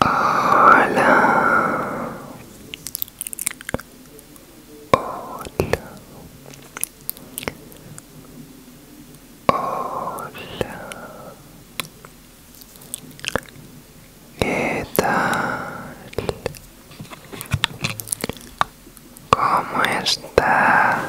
Hola. Hola. Hola. ¿Qué tal? ¿Cómo está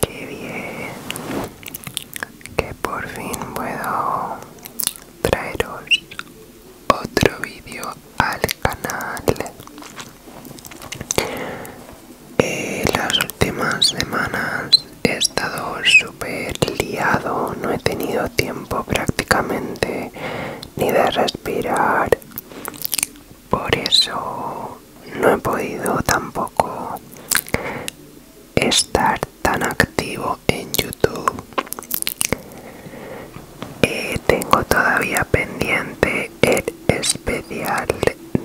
Qué bien que por fin puedo traeros otro vídeo al canal. Eh, las últimas semanas he estado súper liado, no he tenido tiempo prácticamente ni de respirar por eso no he podido tampoco estar tan activo en YouTube. Eh, tengo todavía pendiente el especial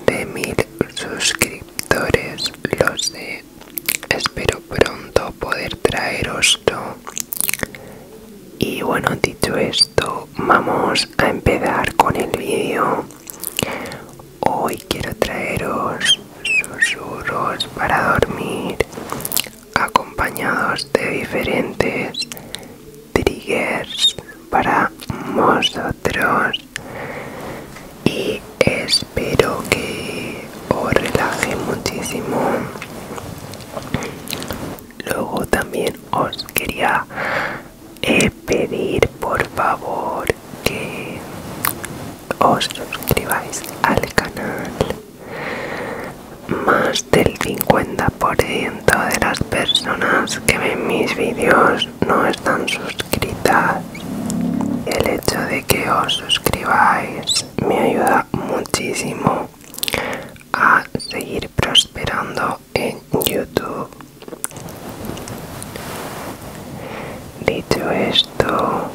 de mil suscriptores, lo sé. Espero pronto poder traeroslo. Y bueno, dicho esto, vamos a empezar con el vídeo hoy quiero traeros susurros para dormir acompañados de diferentes triggers para vosotros y espero que os relaje muchísimo luego también os quería he pedir por favor que os suscribáis al canal más del 50% de las personas que ven mis vídeos no están suscritas el hecho de que os suscribáis me ayuda muchísimo a seguir prosperando en YouTube. Dicho esto,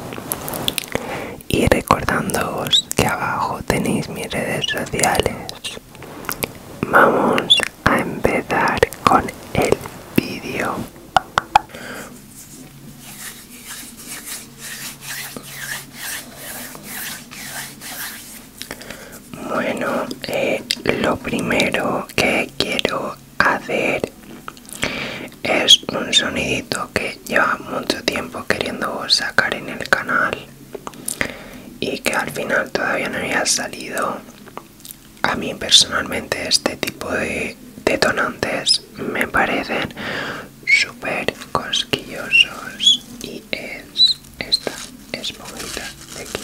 y recordándoos que abajo tenéis mis redes sociales, vamos a empezar con el vídeo. Bueno, eh, lo primero que quiero hacer es un sonidito que lleva mucho tiempo queriendo sacar en el canal y que al final todavía no había salido. A mí personalmente este tipo de detonantes me parecen súper cosquillosos y es esta es esponjita de aquí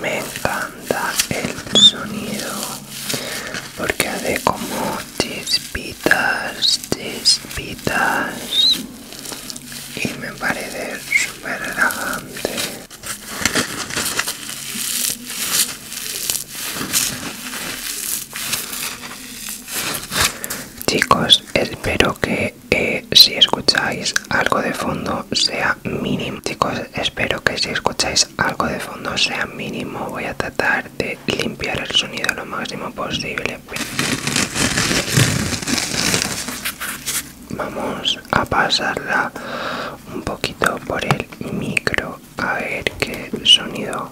me encanta el sonido porque hace como chispitas, chispitas y me parece súper relajante. Chicos, espero que eh, si escucháis algo de fondo sea mínimo. Chicos, espero que si escucháis algo de fondo sea mínimo. Voy a tratar de limpiar el sonido lo máximo posible. Vamos a pasarla un poquito por el micro a ver qué sonido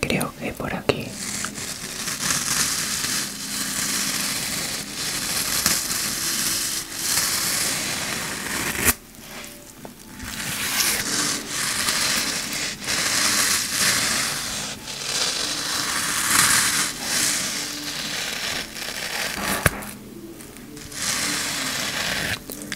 creo que por aquí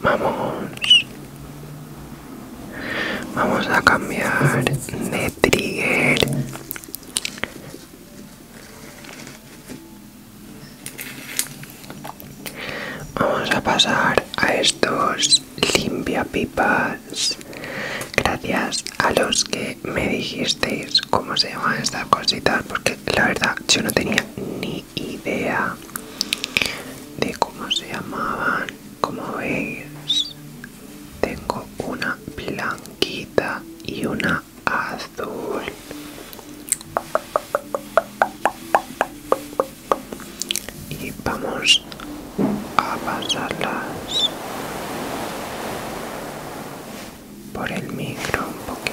Vamos, vamos a cambiar de trigger. Vamos a pasar a estos limpia pipas. Gracias a los que me dijisteis cómo se llaman estas cositas, porque la verdad yo no tenía ni idea de cómo se llamaban. Como veis, tengo una blanquita y una azul y vamos a pasarlas por el micro un poquito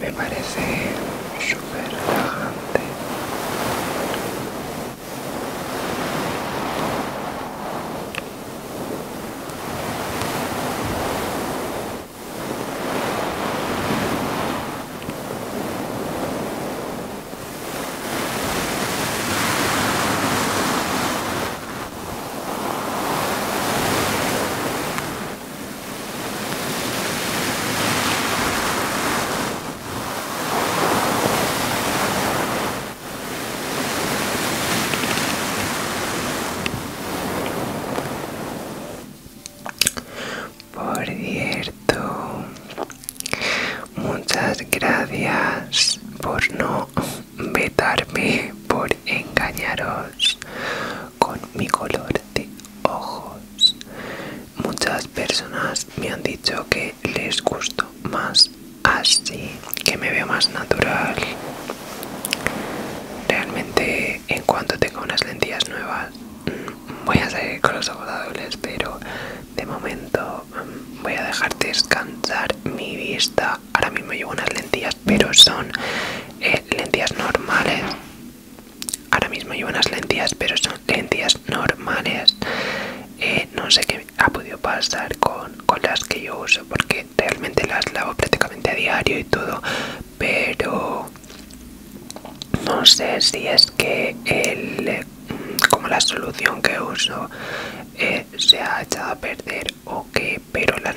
Me parece súper relajante. Por cierto, muchas gracias por no vetarme por engañaros con mi color de ojos. Muchas personas me han dicho que les gusto más así, que me veo más natural. Realmente en cuanto tenga unas lentillas nuevas mm, voy a seguir con los ojos pero de momento mm, voy a dejar descansar mi vista ahora, mismo llevo unas lentillas, pero son eh, lentillas normales. Ahora mismo llevo unas lentillas, pero son lentillas normales. Eh, no sé qué ha podido pasar con, las que yo uso, porque realmente las lavo prácticamente a diario y todo, pero no sé si es que el como la solución que uso eh, se ha echado a perder ok pero la,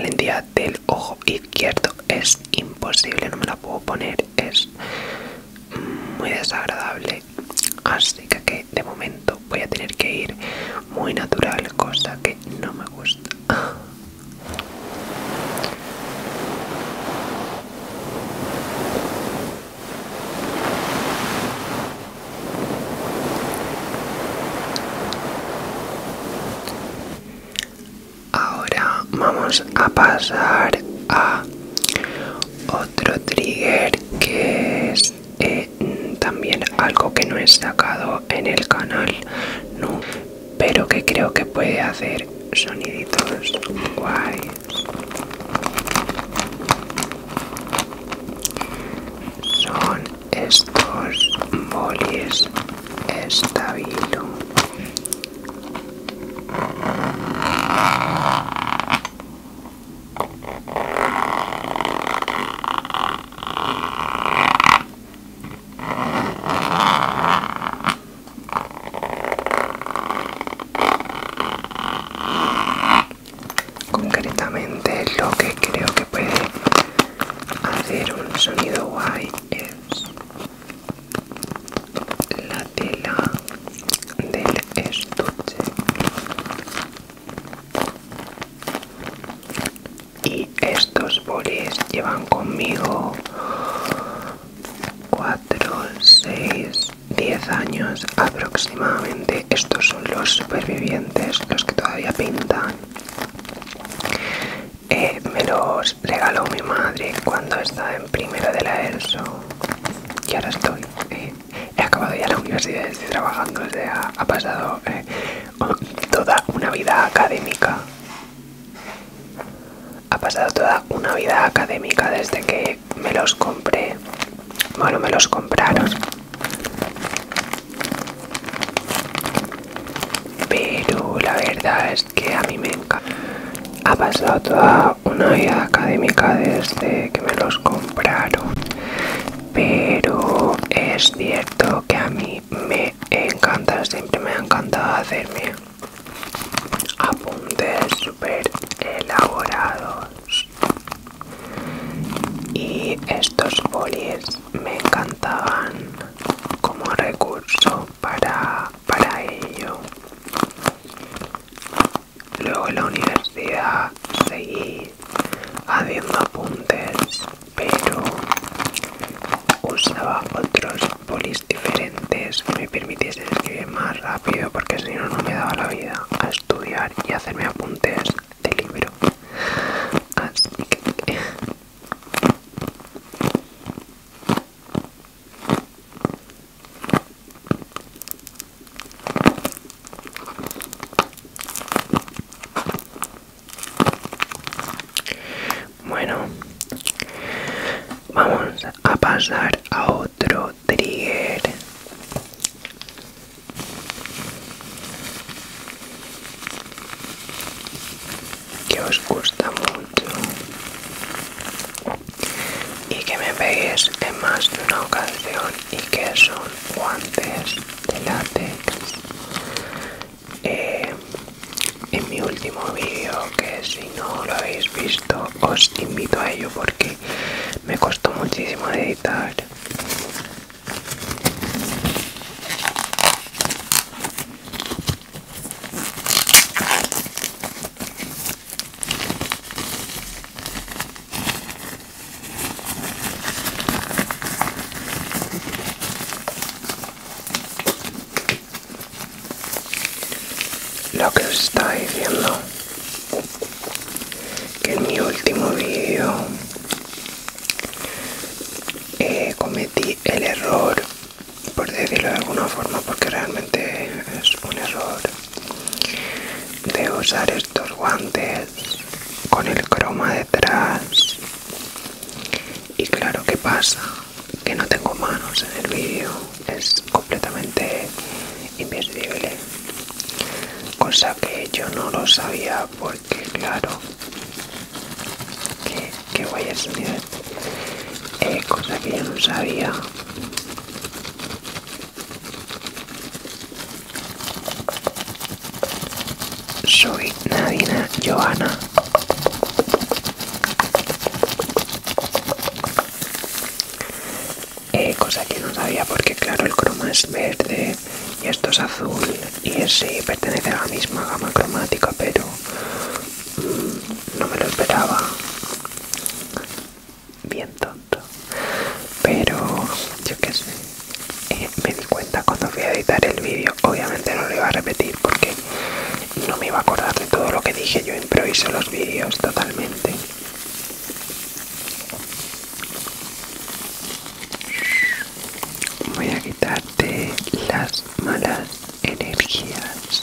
lentidad la del ojo izquierdo es imposible no me la puedo poner es muy desagradable así que de momento voy a tener que ir muy natural cosa que no me gusta Ahora vamos a pasar a otro trigger que es eh, también algo que no he sacado en el canal, no, pero que creo que puede hacer soniditos guays son estos bolis estabilo concretamente lo que creo que puede hacer un sonido guay es la tela del estuche y estos bolis llevan conmigo 4 6 10 años aproximadamente estos los supervivientes, los que todavía pintan. Eh, me los regaló mi madre cuando estaba en primero de la ELSO y ahora estoy. Eh, he acabado ya la universidad, y estoy trabajando, ha pasado eh, toda una vida académica. Ha pasado toda una vida académica desde que me los compré. Bueno, me los compraron pero la verdad es que a mí me encanta. Ha pasado toda una vida académica desde que me los compraron. Pero es cierto que a mí me encanta, siempre me ha encantado hacerme apuntes súper elaborados y estos bolis me encantaban como recurso para, para ello luego en la universidad seguí haciendo apuntes pero usaba otros bolis diferentes que me permitiesen escribir más rápido porque si no no me daba la vida a estudiar y hacerme apuntes del libro bueno vamos a pasar a otro trigger que os gusta mucho y que me veis en más de una ocasión y que son guantes de látex eh, en mi último vídeo que si no lo habéis visto os invito a ello porque me costó muchísimo editar lo que os estaba diciendo que en mi último video eh, cometí el error por decirlo de alguna forma porque realmente es un error de usar estos guantes con el croma detrás y claro que pasa que no tengo manos en el vídeo es completamente invisible cosa que yo no lo sabía que claro que, voy a eh, cosa que yo no sabía soy Nadina Johanna eh, cosa que no sabía porque claro el croma es verde y esto es azul y ese pertenece a la misma gama cromática pero no me lo esperaba bien tonto pero yo qué sé eh, me di cuenta cuando fui a editar el vídeo obviamente no lo iba a repetir porque no me iba a acordar de todo lo que dije yo improviso los vídeos totalmente Voy a quitarte las malas energías.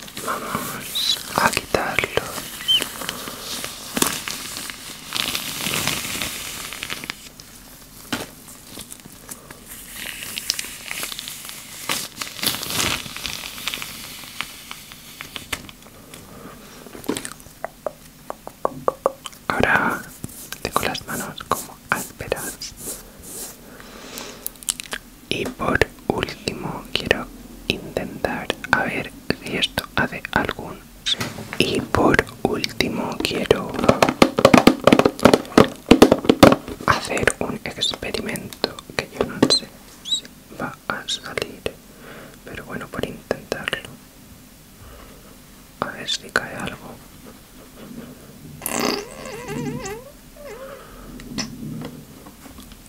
vamos a quitarlos Ahora tengo las manos como ásperas y por último quiero intentar a ver si esto hace algún... Y por último quiero hacer un experimento que yo no sé si va a salir, pero bueno, por intentarlo. A ver si cae algo.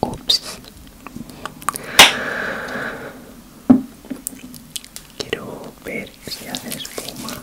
Ups. Quiero ver si hace espuma.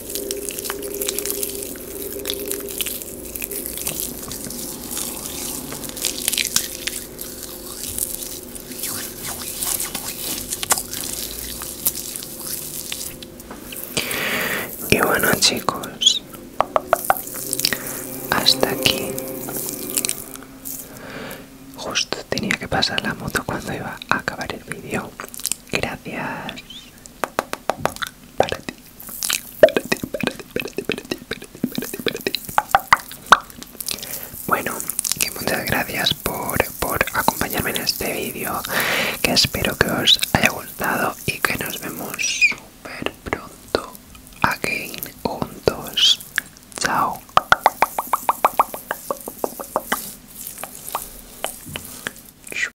Y bueno chicos, hasta aquí. Justo tenía que pasar la moto cuando iba a acabar el vídeo. Gracias para ti, para ti, para ti, para ti, para ti, para ti, para ti, Bueno, muchas gracias por, por acompañarme en este vídeo, que espero que os haya gustado y que nos vemos súper pronto aquí juntos. Chao.